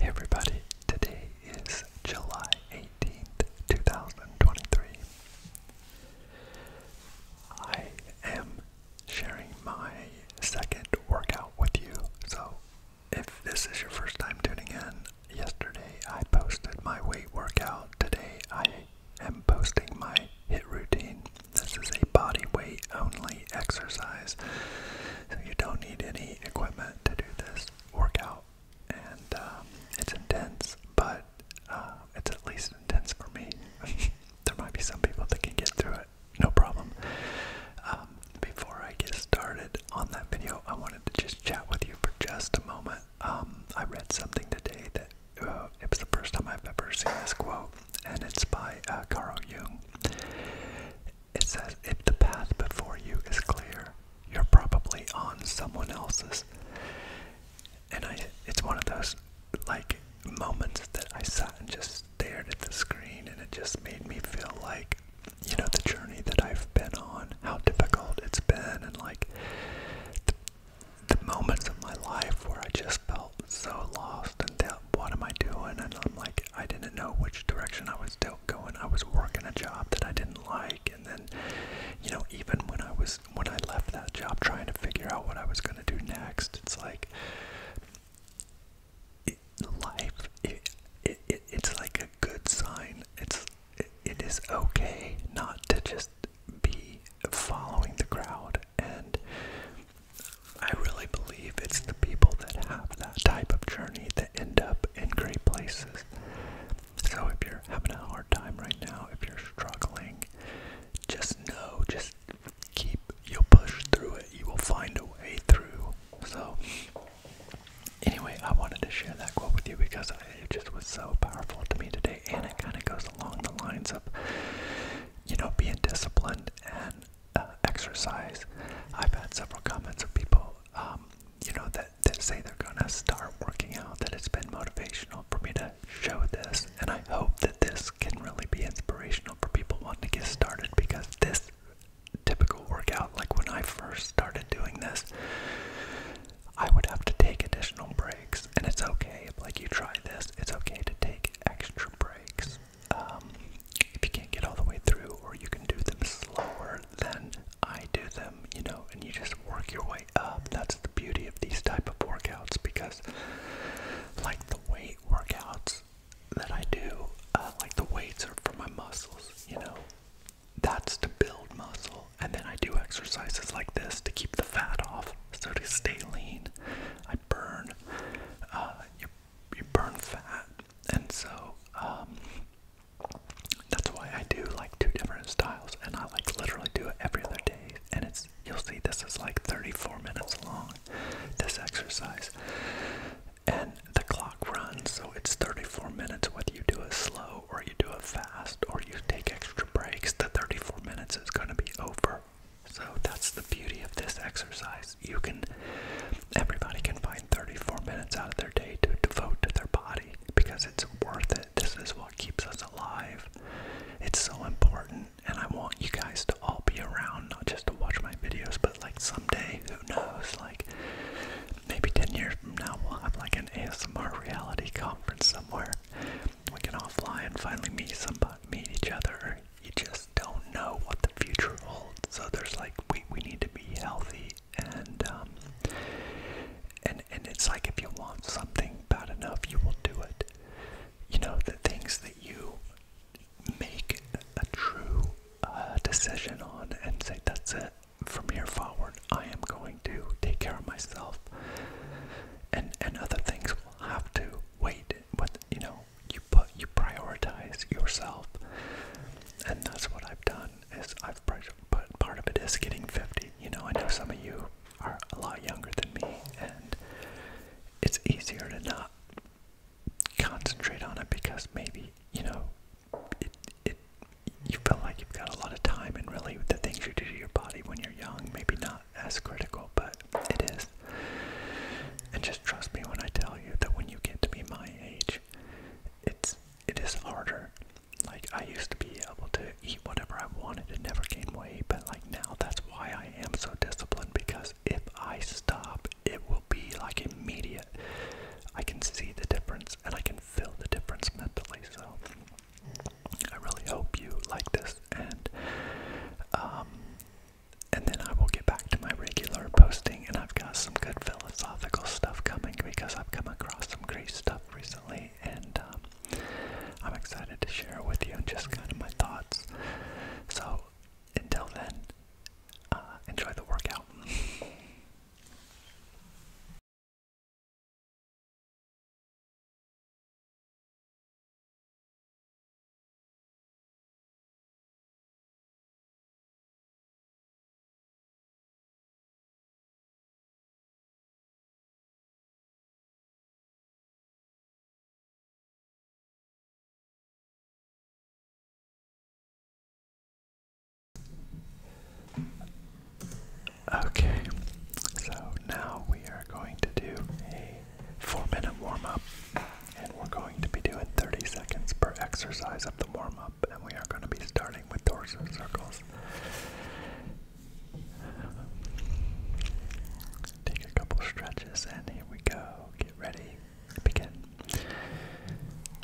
everybody, today is July 18th, 2023. I am sharing my second workout with you. So, if this is your first time tuning in, yesterday I posted my weight workout. Today I am posting my hit routine. This is a body weight only exercise, so you don't need any equipment to do this workout. And um, it's intense, but uh, it's at least intense for me. there might be some people that can get through it, no problem. Um, before I get started on that video, I wanted to just chat with you for just a moment. Um, I read something today that uh, it was the first time I've ever seen this quote, and it's by uh, Carl Jung. It says, If the path before you is clear, you're probably on someone else's. And I, it's one of those like moments that I sat and just stared at the screen, and it just made me feel like, you know, the journey that I've been on, how difficult it's been, and like the moments of my life where I just felt so lost and thought, what am I doing? And I'm like, I didn't know which direction I was still going. I was working a job that I didn't like, and then, you know, even when I was when I left that job, trying to figure out what I was going to do next, it's like it, life. It, it, it, it's like a good sign. It's it, it is okay not to just be following the crowd. And I really believe it's the people that have that type of journey that end up in great places. So if you're having a hard time right now, if you're struggling, just know, just keep, your push through it. You will find a way through. So anyway, I wanted to share that quote with you because it just was so powerful to me today. And it kind of goes along the lines of you know, being disciplined and uh, exercise. I've had several comments of people, um, you know, that, that say they're going to start working out, that it's been motivational for me to show this. And I hope that this can really be inspirational for people wanting to get started because this typical workout, like when I first started doing this, I would have to take additional breaks. And it's okay like, you try this, it's okay to take extra breaks um, if you can't get all the way through, or you can do them slower than I do them, you know, and you just work your way up. That's the beauty of these type of workouts because, like the weight workouts that I do, uh, like the weights are for my muscles, you know. That's to build muscle, and then I do exercises like this to keep the fat off, so to stay lean. I burn. Uh, you you burn fat, and so um, that's why I do like two different styles, and I like literally do it every other day. And it's you'll see this is like 34 minutes long. This exercise, and the clock runs, so it's 34 minutes whether you do it slow or you do it fast or you take extra breaks. The 34 minutes is going to be over so that's the beauty of this exercise. You can, everybody can find 34 minutes out of their day to devote to their body because it's worth it. This is what keeps us alive. It's so important, and I want you guys to all be around, not just to watch my videos, but like someday, who knows, like maybe 10 years from now, we'll have like an ASMR reality conference somewhere we can all fly and finally meet somebody, meet each other. You just don't know what the future holds. So there's like we we need to be healthy and um, and and it's like if you want something bad enough, you will do it. You know the things that you make a true uh, decision on and say that's it from here forward. I am going to take care of myself, and and other things will have to wait it what you know you put you prioritize yourself and that's what I've done is I've but part of it is getting 50 you know I know some of you are a lot younger than me and it's easier to not concentrate on it because maybe you know it, it you feel like you've got a lot of time and really the things you do to your body when you're young maybe not as critical, but it is. And just trust me when I tell you that when you get to be my age, it's it is harder. Like I used to be able to eat whatever I wanted and never gain weight, but like now that's why I am so disciplined because if I stop, it will be like immediate. I can see the difference and I can feel the difference mentally. So I really hope you like this and um and then I will get back to my regular posting. And I've got some good philosophical stuff coming because I've come across some great stuff recently, and um, I'm excited to share with you and just kind of my thoughts. So until then, uh, enjoy the workout. Okay, so now we are going to do a four minute warm up. And we're going to be doing 30 seconds per exercise of the warm up. And we are going to be starting with torso circles. Take a couple stretches, and here we go. Get ready, begin.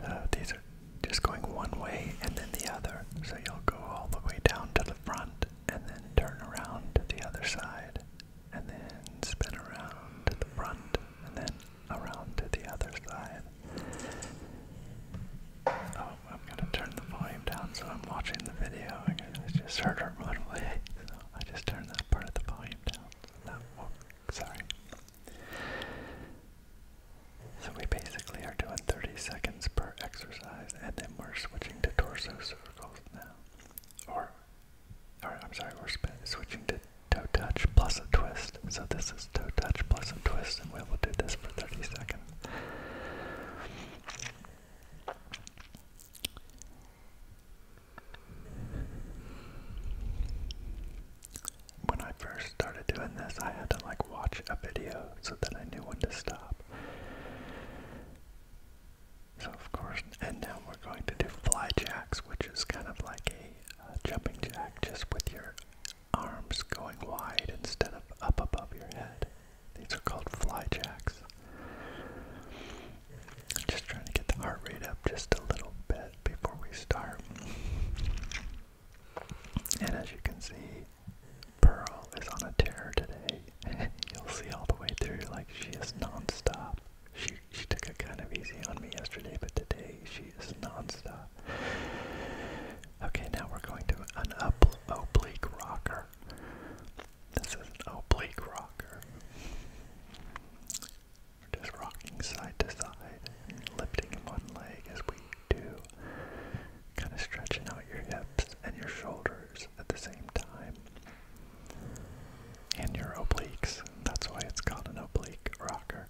Uh, these are just going one way and then the other. So you'll go all the way down to the front and then turn around to the other side and then spin around to the front and then around to the other side. Oh, I'm gonna turn the volume down so I'm watching the video. I just heard her run away, so I just turned that part of the volume down. So sorry. So we basically are doing 30 seconds per exercise, and then we're switching to torso circles now, or all I'm sorry, we're switching to toe touch plus a twist. So this is toe touch plus a twist, and we will do this for 30 seconds. When I first started doing this, I had to like watch a video so that I knew when to stop. So of course, and now we're going to do fly jacks, which is kind of like a jumping jack, just with your arms going wide instead of up above your head. These are called fly jacks. Just trying to get the heart rate up just a little bit before we start. And as you can see, Pearl is on a tear today. You'll see all the way through, like she is nonstop. She she took it kind of easy on me yesterday, but today she is nonstop. Okay, now we're going to an up oblique rocker. This is an oblique rocker. We're just rocking side to side, lifting one leg as we do, kind of stretching out your hips and your shoulders at the same time. And your obliques. That's why it's called an oblique rocker.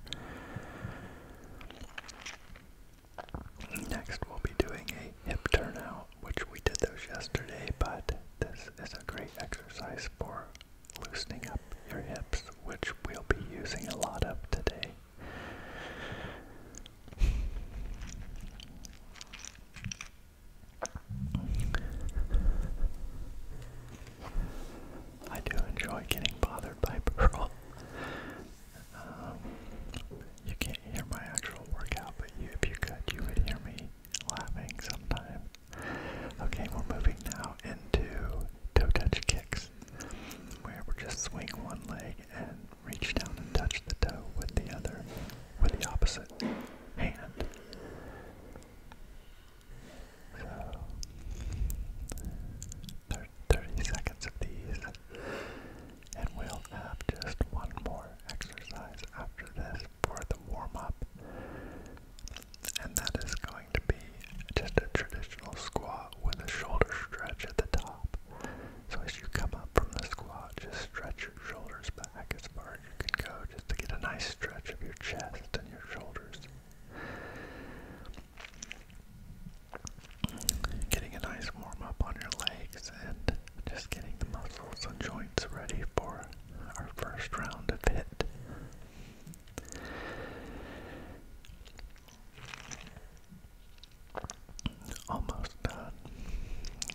Next, we'll be doing a hip turnout, which we did those yesterday, but this is a great exercise for loosening up your hips, which we'll be using a lot of today. I do enjoy getting bothered by Pearl. Um, you can't hear my actual workout, but if you could, you would hear me laughing sometime. Okay, we're moving now into toe touch kicks, where we'll just swing one leg and reach down and touch the toe with the other, with the opposite hand. So, 30 seconds of these, and we'll have just one more exercise after this for the warm up, and that is going to be just a traditional squat with a shoulder stretch at the top. So, as you come up from the squat, just stretch your shoulders back back as far as you can go just to get a nice stretch of your chest and your shoulders. Getting a nice warm up on your legs and just getting the muscles and joints ready for our first round of hit. Almost done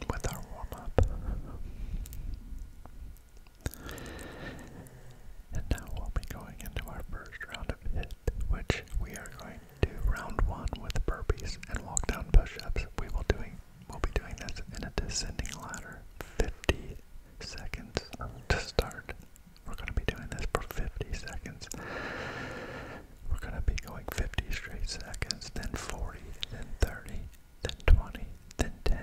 with our warm up. And now we'll be going into our first round of HIIT, which we are going to round one with burpees and walk down push-ups. We will doing we'll be doing this in a descending ladder. 50 seconds to start. We're gonna be doing this for 50 seconds. We're gonna be going 50 straight seconds, then 40, then 30, then 20, then 10,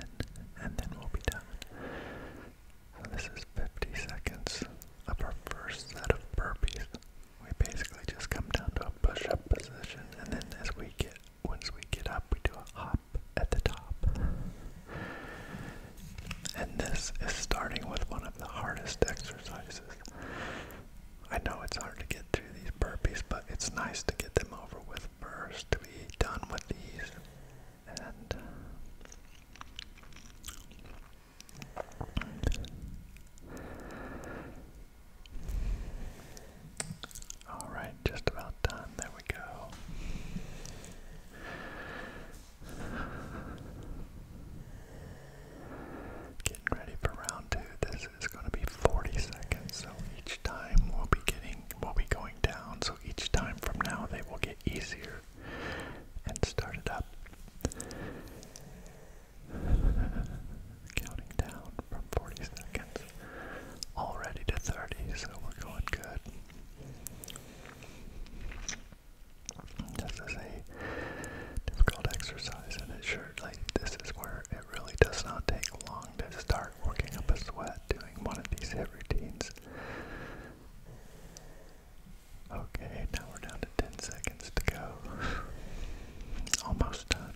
and then we'll be done. So this is 50 seconds of our first set of burpees. We basically just come down to a push-up position, and then as we get, once we get up, we do a hop at the top. And this is starting with one of the hardest exercises. I know it's hard to get through these burpees, but it's nice to get them over with first to be done with these and uh, all right, just about done. There we go. Getting ready for round two. This is going to be 40 seconds, so each time we'll be getting will be going down, so each time from now they will get easier and start it up. Counting down from 40 seconds already to 30, so we're going good. This a difficult exercise, and it sure, like, this is where it really does not take long to start working up a sweat one of these hit routines. Okay, now we're down to 10 seconds to go. Almost done.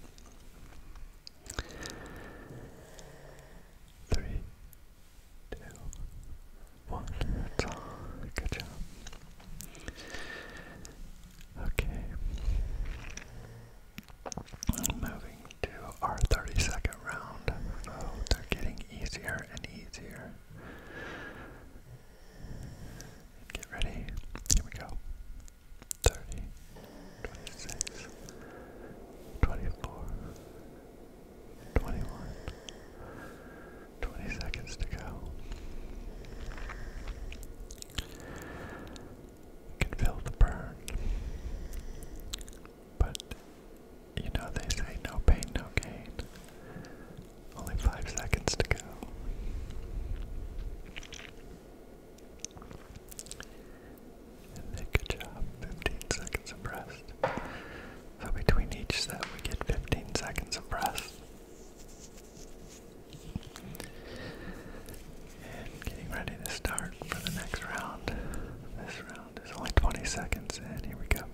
Three, two, one. Good job. Okay. Moving to our 32nd round. Oh, they're getting easier and easier. Get ready. Here we go. 30, 20 seconds to go. can feel the burn. But you know they say no pain, no gain. Only five seconds to go. And good job, 15 seconds of rest. So between each set we get 15 seconds of rest and getting ready to start for the next round. This round is only 20 seconds, and here we go.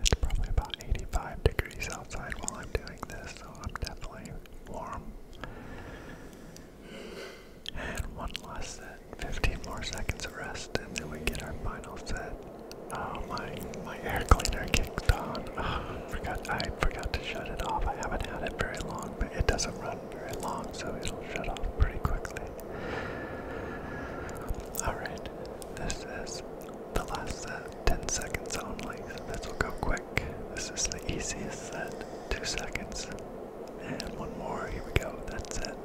It's probably about 85 degrees outside while I'm doing this, so I'm definitely warm. And one less 15 more seconds of rest and then we get our final set. Oh my, my air cleaner kicked on. forgot, I forgot to shut it off. I haven't had it very long, but it doesn't run very long, so it'll shut off pretty quickly. Alright, this is the last set, 10 seconds only. This will go quick. This is the easiest set, 2 seconds. And one more, here we go, that's it.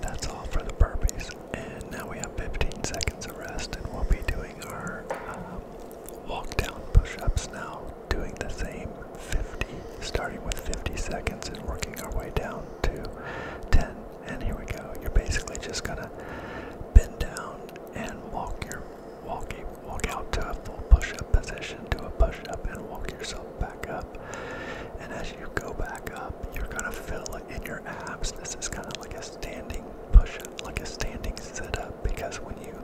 That's all for the burpees. And now we have 15 seconds of rest, and we'll be doing our um, walk down push ups now, doing the same 50, starting with 50 seconds and working our way down to 10. And here we go. You're basically just gonna bend down and walk your walk, walk out to a full push up position, do a push up, and walk yourself back up and as you go back up, you're gonna fill in your abs. This is kind of like a standing push up, like a standing sit up, because when you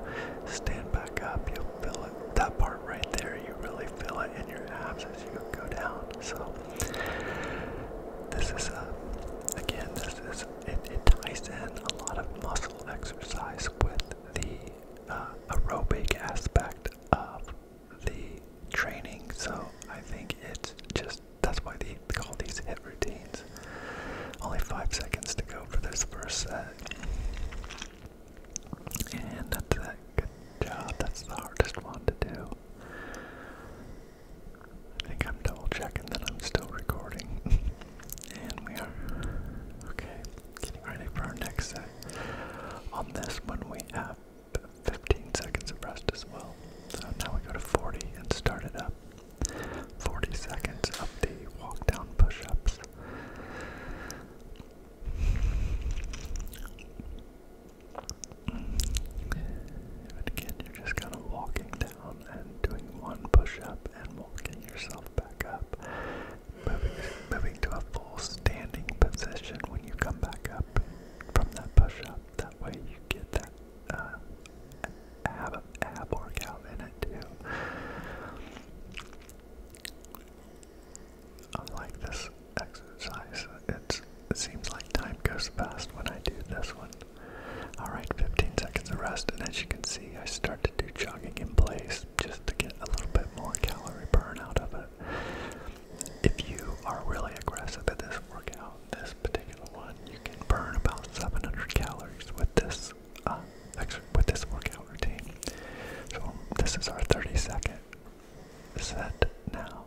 stand back up, you'll fill it. That part right there, you really feel it in your abs as you go down. So, this is a, uh, again, this is, it, ties in a lot of muscle exercise with the uh, aerobic aspect of the training, so I think it's just that's why they call these hit routines. Only five seconds to go for this first set. And that's that. Good job. That's the hardest one to do. I think I'm double checking that I'm still recording. and we are. Okay, getting ready for our next set. On this one, we have 15 seconds of rest as well. So now we go to 40 and start it up. 40 seconds of the walk down push ups. again, you're just kind of walking down and doing one push up and walking yourself back up. Moving, to a full standing position when you come back up from that push up that way you get that uh, ab, ab workout in it too. I like this exercise. it seems like time goes fast when I do this one. Alright, 15 seconds of rest, and as you can see, I start to do jogging in place just to get a little bit more calorie burn out of it. If you are really aggressive at this workout, this particular one, you can burn about 700 calories with this uh, with this workout routine. So this is our 30 second set now.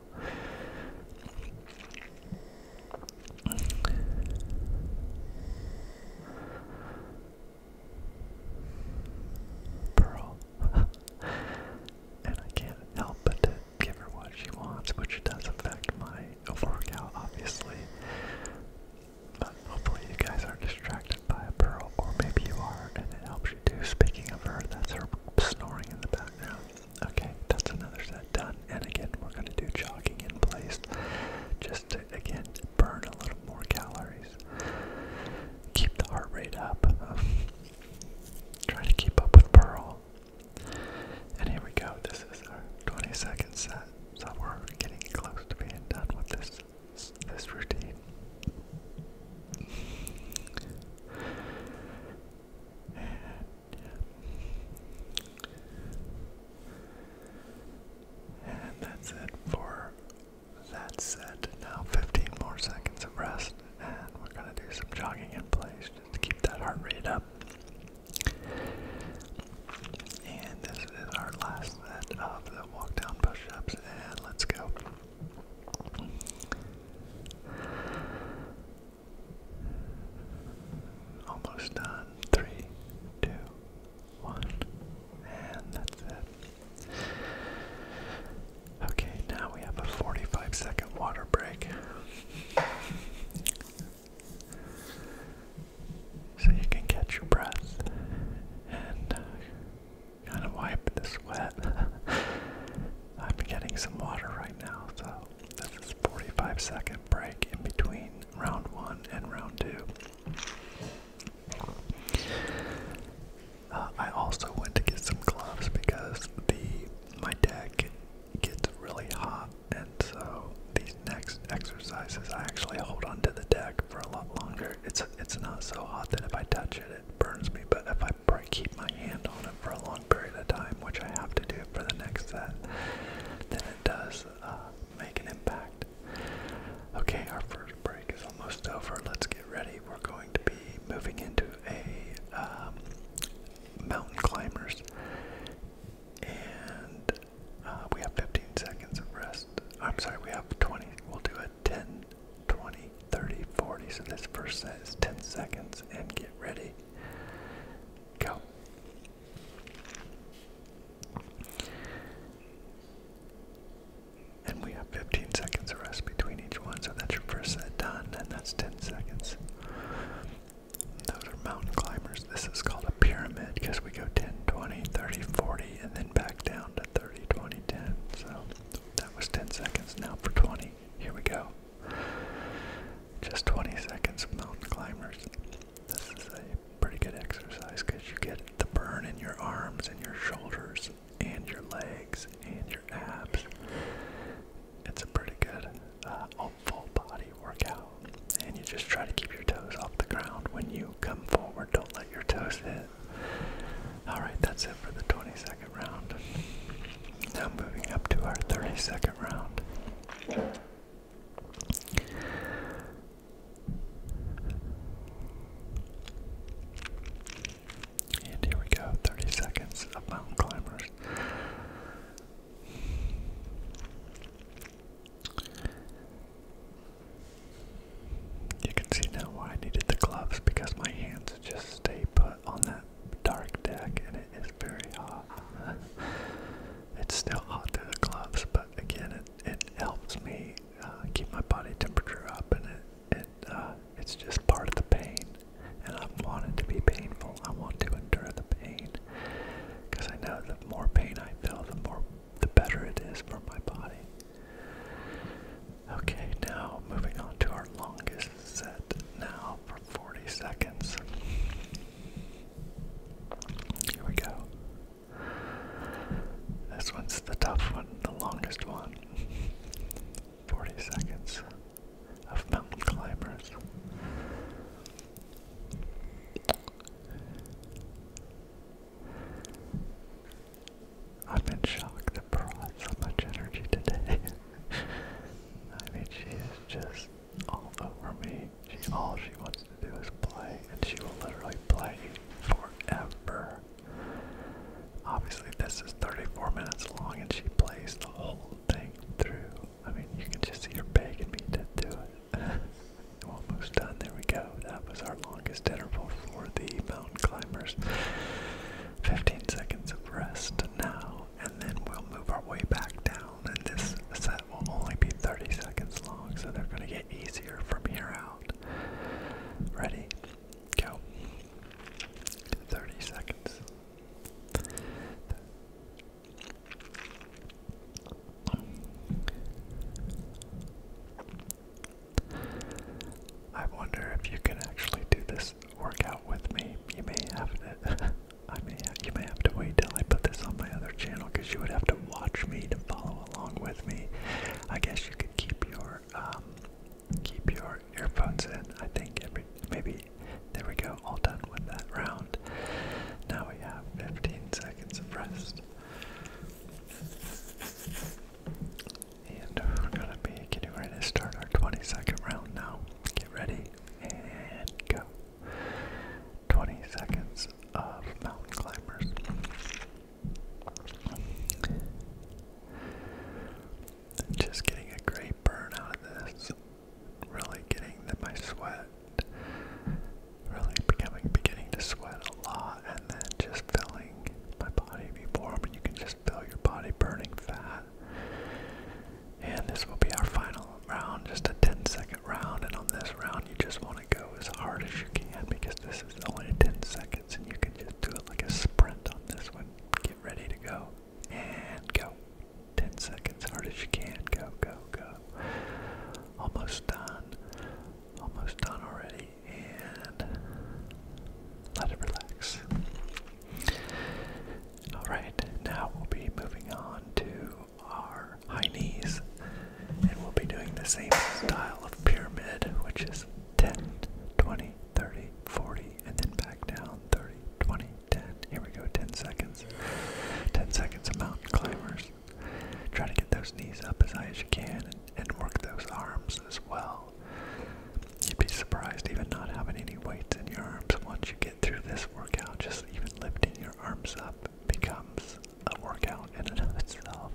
Pearl. and I can't help but to give her what she wants, which does affect my workout, obviously. But hopefully you guys are distracted by a pearl, or maybe you are, and it helps you too. Speaking of her, that's her snoring in the background. Okay, that's another set done. And again, we're going to do jogging in place, just to, again, burn a little more calories. Keep the heart rate up. Um, to keep up with Pearl. And here we go. This is our 22nd set, so we're getting close to being done with this this routine. And that's it for that set. Now 15 more seconds of rest, and we're gonna do some jogging in place to keep that heart rate up. And this is our last set of the walk down and let's go. Almost done. Three, two, one, and that's it. Okay, now we have a 45 second water break so you can catch your breath and uh, kind of wipe the sweat. I'm getting some water right now, so this is 45 second break in between round one and round two. Uh, I also went to get some gloves because the my deck gets really hot, and so these next exercises I actually hold onto the deck for a lot longer. It's it's not so hot that if I touch it, it burns me, but if I keep my hand on it for a long period of time, which I have to do for the next set, then it does uh, make an impact. Okay, our first break is almost over. Let's get ready. We're going to be moving into a um, mountain climbers. And uh, we have 15 seconds of rest. I'm sorry, we have 20. We'll do a 10, 20, 30, 40. So this first set is 10 seconds and get ready. Go. And we have 15 seconds of rest between each one, so that's your first set done, and that's 10 seconds. Those are mountain climbers. This is called a pyramid because we go 10, 20, 30, 40, and then back down to 30, 20, 10. So that was 10 seconds. Now for 20. Here we go. Just 20 seconds of mountain climbers. This is a pretty good exercise because you get the burn in your arms and your shoulders and your legs and your abs. It's a pretty good uh, full body workout. And you just try to keep your toes off the ground when you come forward. Don't let your toes hit. Alright, that's it for the 20 second round. Now moving up to our 30 second round. And here we go, 30 seconds of mountain climbers. You can see now why I needed the gloves because my hands just stay put on that dark deck and it is very hot. it's still hot through the gloves, but again, it, it helps me uh, keep my body temperature up and it, it uh, it's just part of the pain. And I want it to be painful. I want to endure the pain. Because I know the more pain I feel, the more the better it is for my body. Okay, now moving on to our longest set now for 40 seconds. Here we go. This one's the tough one, the longest one. 40 seconds of mountain climbers. I'm in shock that Pearl had so much energy today. I mean, she is just all over me. She, all she wants to do is play, and she will literally play forever. Obviously, this is 34 minutes long, and she plays the whole thing through. I mean, you can just see her begging me to do it. almost done. There we go. That was our longest interval for the mountain climbers. 15 seconds of rest now, and then we'll move our way back down. And this set will only be 30 seconds long, so they're going to get easier from here out. Ready? Go. 30 seconds. I wonder if you can actually do this workout with me. You may have to, I may you may have to wait till I put this on my other channel because you would have to watch me to follow along with me. I guess you could keep your um, keep your earphones in. I think every maybe there we go, all done with that round. Now we have 15 seconds of rest. And we're gonna be getting ready to start our 20 second round now. Get ready and go. 20 seconds of mountain climbers. Just getting a great burn out of this really getting the, my sweat, really becoming, beginning to sweat a lot, and then just filling my body be warm, and you can just feel your body burning fat. And this will be our final round, just a 10 second round, and on this round, you just want to go as hard as you can because this is only 10 seconds, and you can just do it like a sprint on this one. Get ready to go. And go. 10 seconds, hard as you can. Go, go, go. Almost done. Almost done already. And let it relax. Alright, now we'll be moving on to our high knees. And we'll be doing the same style of pyramid, which is 10, 20, 30, 40, and then back down 30, 20, 10. Here we go, 10 seconds. 10 seconds of mountain climbers. Try to get those knees up as high as you can and, and work those arms as well. You'd be surprised even not having any weights in your arms. Once you get through this workout, just even lifting your arms up becomes a workout in and of itself.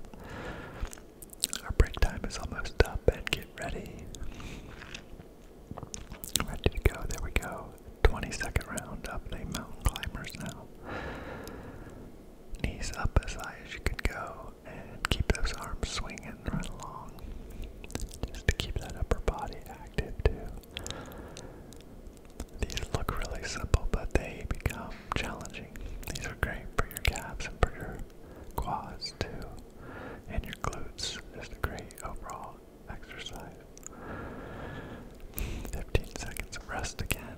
Our break time is almost up and get ready. Where did go? There we go. 22nd round up the mountain climbers now. Knees up as high as you can go and keep those arms swinging right along. Just to keep that upper body active too. These look really simple, but they become challenging. These are great for your calves and for your quads too, and your glutes. Just a great overall exercise. 15 seconds of rest again.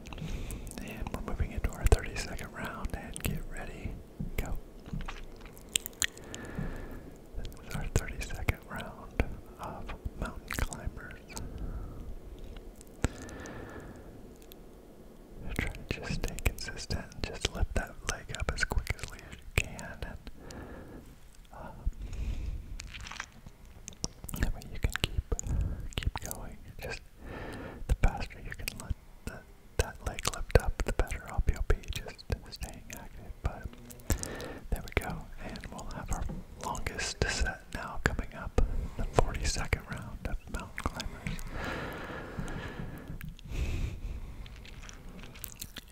And we're moving into our 30 second round and get ready. Go. This is our 30 second round of mountain climbers. i to just stay consistent just lift that leg up as quickly as you can. And, uh, I mean, you can keep keep going. Just the faster you can let the, that leg lift up, the better i will be. Just staying active. But there we go, and we'll have our longest set now coming up. The 42nd round of mountain climbers.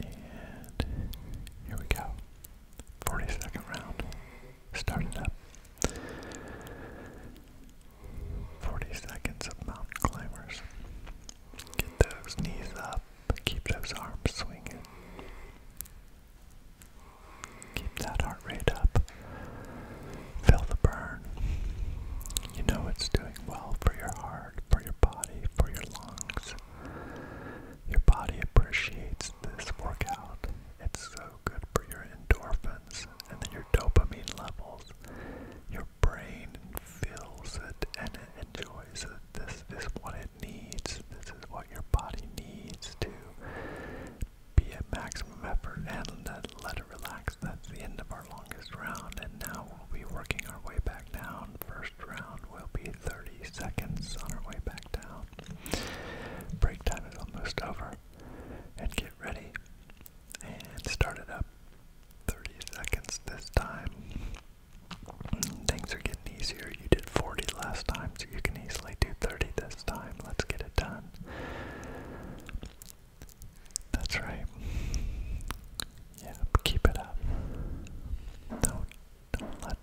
And here we go. 42nd round. Starting up. 40 seconds of mountain climbers. Get those knees up. Keep those arms swinging. Keep that heart rate up. Feel the burn. You know it's doing well for your heart, for your body, for your lungs. Your body appreciates this workout It's so good for your endorphins and then your dopamine levels. Your brain feels it and it enjoys it. This is what it needs. This is what your body needs to be at maximum effort and uh, let it relax. That's the end of our longest round. And now we'll be working our way back down. First round will be 30 seconds on our way back down. Break time is almost over. And get ready. And start it up. 30 seconds this time. Things are getting easier. You did 40 last time, so you can easily do 30 this time. Let's get it done. That's right. Yeah, keep it up. do don't let,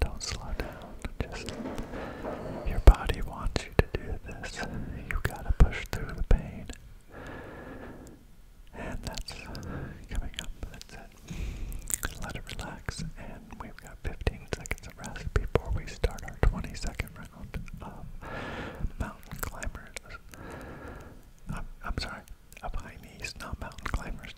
don't slow down. Just, your body wants you to do this. You gotta push through the pain. And that's coming up. That's it. Let it relax. And we've got 15 seconds of rest before we start our 20 second round of mountain climbers. I'm, i sorry, of high knees, not mountain climbers.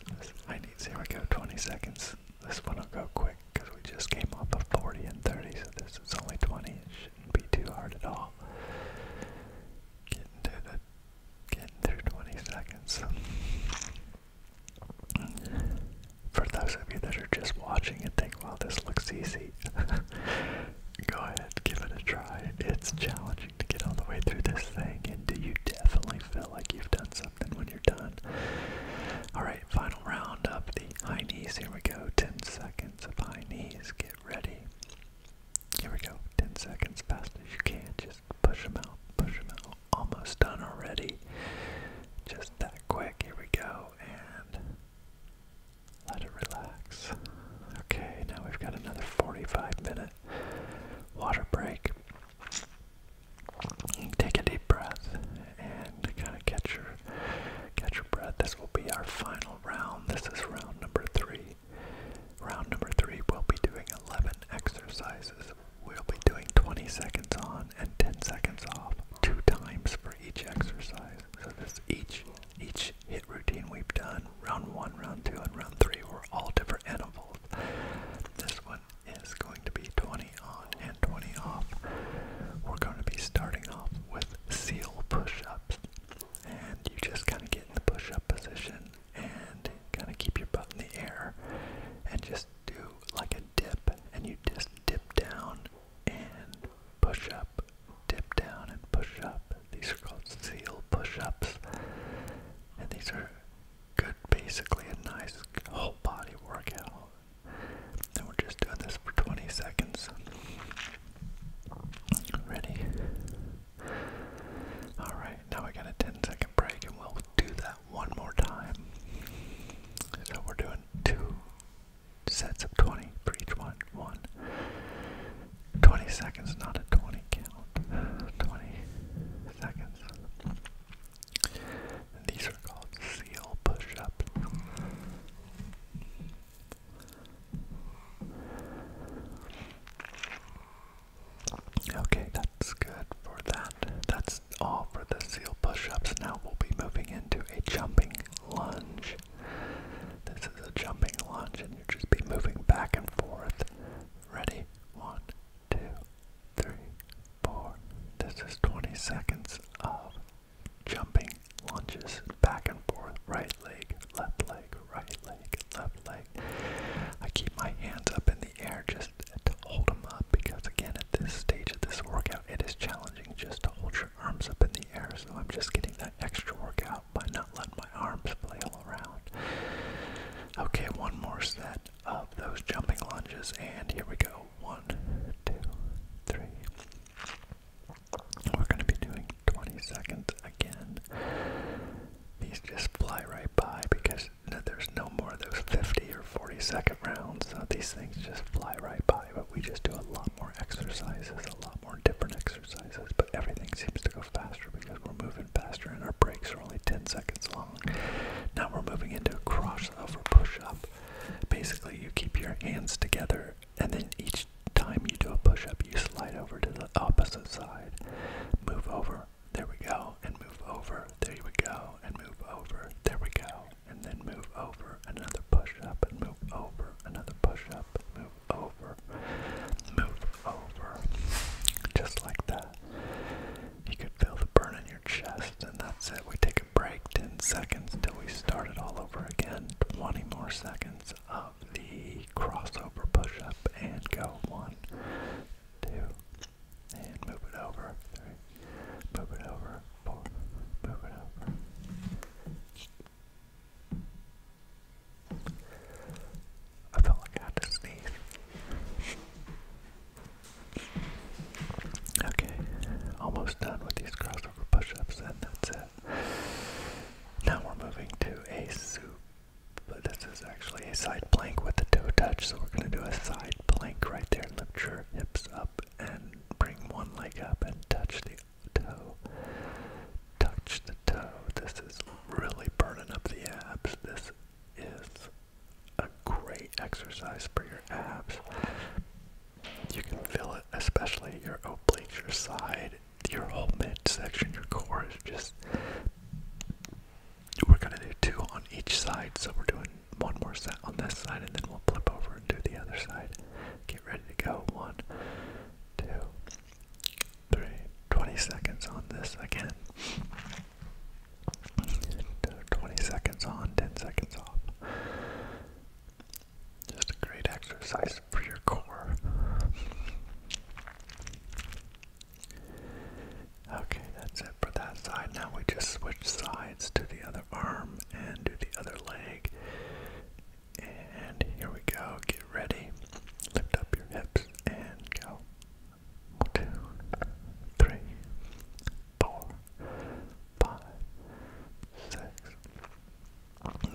High knees. Here we go. 20 seconds. This one will go quick because we just came off of 40 and 30, so this is only 20. It shouldn't be too hard at all. Getting through, 20 seconds. For those of you that are just watching it think, well, this looks easy, go ahead, give it a try. It's challenging to get all the way through this thing, and do you definitely feel like you've done something? something when you're done. Alright, final round of the high knees. Here we go. 10 seconds of high knees. Get ready. Here we go. 10 seconds, fast as you can. Just push them out, push them out. Almost done already. Just that quick. Here we go. And let it relax. Okay, now we've got another 45 minute water break. Take a deep breath and kind of catch your catch your breath. This will be our final round. This is round number three. Round number three, we'll be doing 11 exercises. We'll be doing 20 seconds on and 10 seconds off, two times for each exercise. So this each each hit routine we've done, round one, round two, and round three were all different animals. This is going to be 20 on and 20 off. We're going to be starting off with seal push ups. And you just kind of get in the push up position and kind of keep your butt in the air and just do like a dip. And you just dip down and push up, dip down and push up. These are called seal push ups. And these are good basically a nice whole body workout. And we're just doing this for 20 seconds. Ready? Alright, now we got a 10 second break and we'll do that one more time. So we're doing two sets of 20 for each one. One. 20 seconds, not a 20 count. 20 seconds. These are called seal push-ups. Okay, that's good for that. That's all for the seal push-ups. Now we'll be moving into a jumping lunge. This is a jumping lunge and you'll just be moving back and forth. Ready? One, two, three, four. This is 20 seconds of jumping lunges back and forth, right leg, left leg, right leg, left leg. I keep my hands up in the air just to hold them up because again at this stage of this workout it is challenging just to hold your arms up in the air so I'm just getting that extra workout by not letting my arms flail around. Okay, one more set of those jumping lunges. And here we go. One, two, three. We're going to be doing 20 seconds again. These just fly right by because there's no more of those 50 or 40 second rounds. these things just fly right by, but we just do a lot more exercises, a lot more different exercises, but everything seems to go faster because we're moving faster and our breaks are only 10 seconds long. Now we're moving into a cross over push up. Basically, you keep your hands together, and then each time you do a push up, you slide over to the opposite side. Move over, there we go, and move over, there we go, and move over, there we go, and then move over, another push up, and move over, another push up, move over, move over, just like that. You could feel the burn in your chest, and that's it. We take a break 10 seconds till we start it all over again. 20 more seconds of the crossover push up and go. One, two, and move it over. Three, move it over. Four, move it over. I felt like I had to sneeze. Okay, almost done with these crossover push-ups, and that's it. Now we're moving to a soup. But this is actually a side plank with the toe touch, so we're going to do a side plank right there. Lift your hips up and bring one leg up and touch the toe. Touch the toe. This is really burning up the abs. This is a great exercise for your abs. You can feel it, especially your obliques, your side, your whole midsection, your core is just. We're gonna do two on each side, so we're doing one more set on this side, and then we'll flip over and do the other side. Get ready to go. One, two, three. 20 seconds on this again. 20 seconds on, 10 seconds off. Just a great exercise for your core. Okay, that's it for that side. Now we just switch sides to the other arm and do the other leg. And here we go. Get ready. Lift up your hips and go. One, two, three, four, five, six.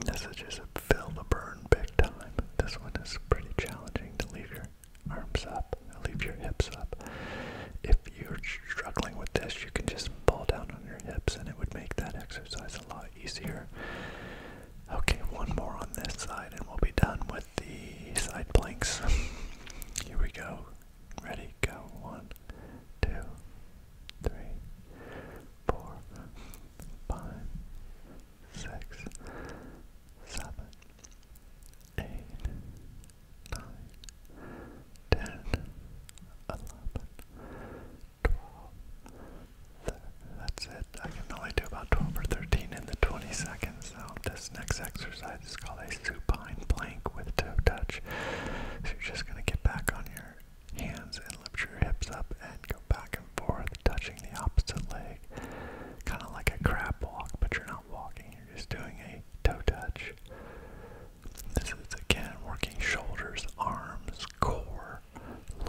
This is just a fill the burn big time. This one is pretty challenging to leave your arms up, leave your hips up. If you're struggling with this, you can just fall down on your hips and it would make that exercise a lot easier. Okay, one more on this side and we'll be done with the side planks. Here we go. Ready, go. One, two, three, four, five, six, seven, eight, nine, ten, eleven, twelve. That's it. I can only do about 12 or 13 in the 20 seconds, so this next exercise exercise is called a supine plank with toe touch. So you're just going to get back on your hands and lift your hips up and go back and forth, touching the opposite leg. Kind of like a crab walk, but you're not walking, you're just doing a toe touch. This is again working shoulders, arms, core,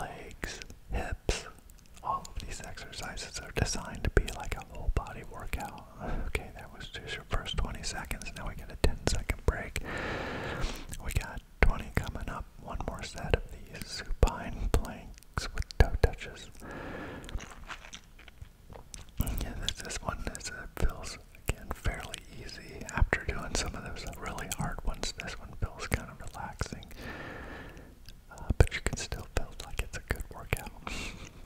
legs, hips. All of these exercises are designed to be like a whole body workout. Okay, that was just your first 20 seconds. Now we get a 10 second break. We got 20 coming up. One more set of these supine planks with toe touches. Yeah, this, this one is, uh, feels, again, fairly easy. After doing some of those really hard ones, this one feels kind of relaxing. Uh, but you can still feel like it's a good workout.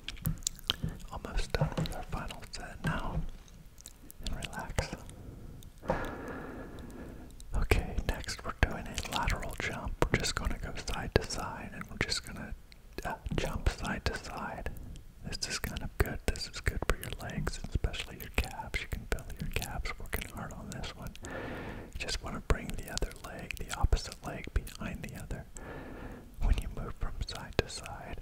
Almost done with our final set now. And relax. Okay, next we're doing a lateral jump. We're just going to go side to side and we're just going to uh, jump side to side. This is kind of good. This is good for your legs, especially your calves. You can feel your calves working hard on this one. You just want to bring the other leg, the opposite leg behind the other easier when you move from side to side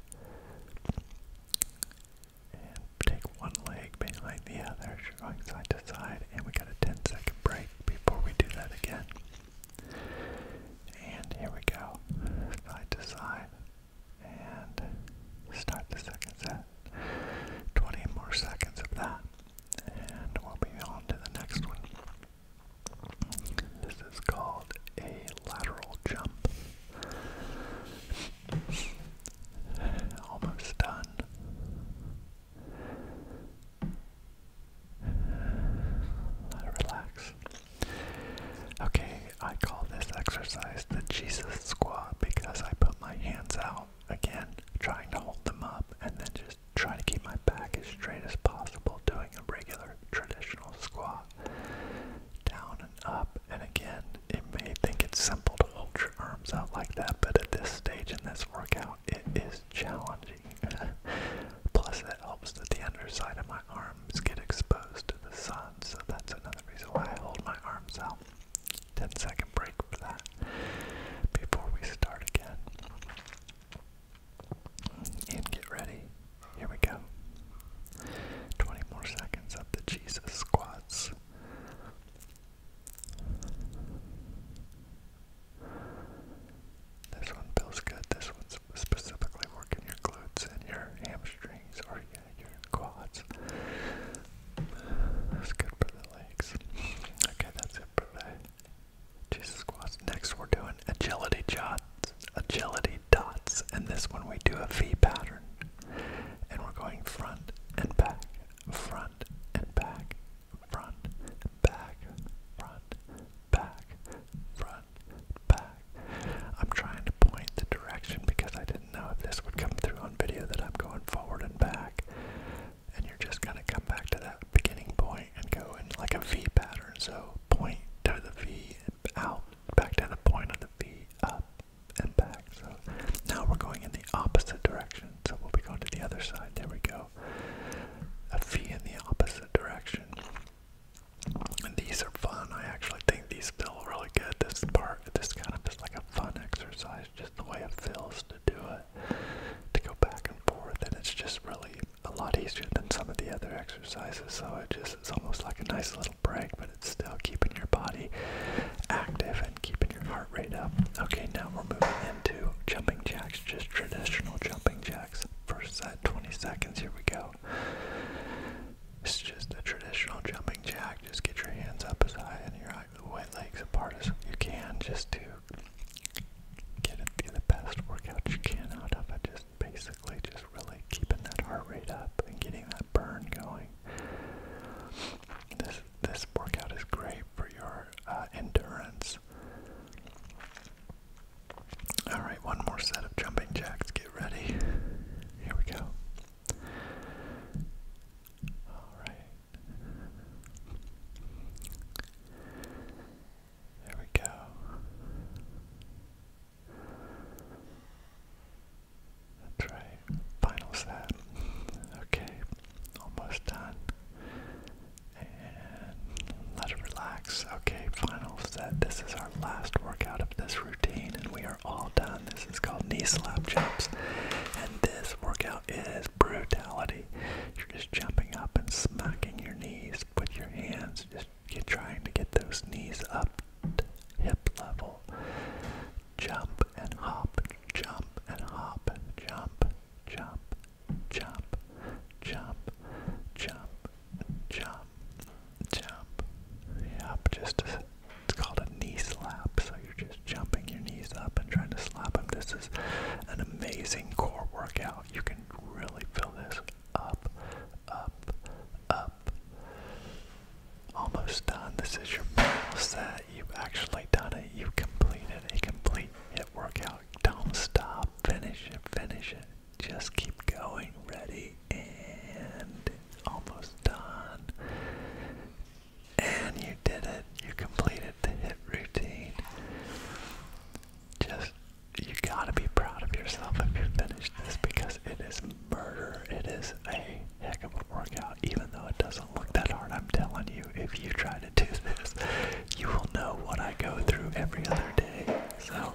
and take one leg behind the other, going side to side, and we got a 10 second break before we do that again. And here we go, side to side, and start the second set. 20 more seconds of that, and we'll be on to the next one. This is called a lateral jump. Almost done. Relax. Okay, I call this exercise the Jesus squat because I put my hands out again, trying to hold them up, and then just trying to keep my back as straight as possible doing a regular traditional squat down and up. And again, it may think it's simple to hold your arms out like that, but at this stage in this workout, it is challenging. Plus, it helps that the underside of my arms get exposed to the sun, so that's another reason why I hold my arms out. Ten-second break for that before we start again. And get ready here we go. 20 more seconds of the Jesus squats. This one feels good. This one's specifically working your glutes and your hamstrings or yeah, your quads. That's good for the legs. Okay, that's it for today. Jesus squats. Next, we're doing agility jots. Agility dots, and this one we do a V pattern. And we're going front and back, front and back, front, back, front, back, front, back. I'm trying to point the direction because I didn't know if this would come through on video that I'm going forward and back. And you're just gonna come back to that beginning point and go in like a V pattern. So point to the V out back to the point of the V uh, up and back. So now we're going in the opposite direction. So we'll be going to the other side. There we go. A V in the opposite direction. And these are fun. I actually think these feel really good. This part, this kind of is like a fun exercise, just the way it feels to do it, to go back and forth. And it's just really a lot easier than some of the other exercises. So it just, it's almost like a nice little break, but it's still keeping your body active and keeping your heart rate up. Okay, now we're moving into jumping jacks, just traditional jumping jacks. First set, 20 seconds, here we go. It's just a traditional jumping jack. Just get your hands up as high and your white legs apart as you can just to get it, the best workout you can out of it. Just basically just really keeping that heart rate up and getting that burn going. This this workout is great for your uh, endurance. All right, one more set of jumping jacks. Get ready. Here we go. All right. There we go. That's right. Finals that. Okay, almost done. let it relax. Okay, final set. This is our last workout of this routine, and we are all done. This is called knee slap jumps, and this workout is brutality. You're just jumping up and smacking your knees with your hands, just you're trying to get those knees up to hip level. Jump and hop, jump and hop, jump, jump, jump, jump, jump, jump, jump. Yep, just a, it's called a knee slap. So you're just jumping your knees up and trying to slap them. This is an amazing core workout. You can really feel this up, up, up. Almost done. This is your mental set. You've actually done it. You completed a complete hit workout. Don't stop. Finish it. Finish it. Just keep going. Ready and almost done. And you did it. You completed the hit routine. Just you gotta be proud of yourself if you finished this because it is murder. It is a heck of a workout, even though it doesn't look that hard. I'm telling you, if you try to do this, you will know what I go through every other day. So,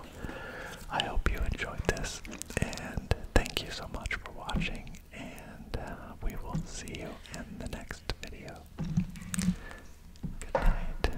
I hope you enjoyed this, and thank you so much for watching, and uh, we will see you in the next video. Good night.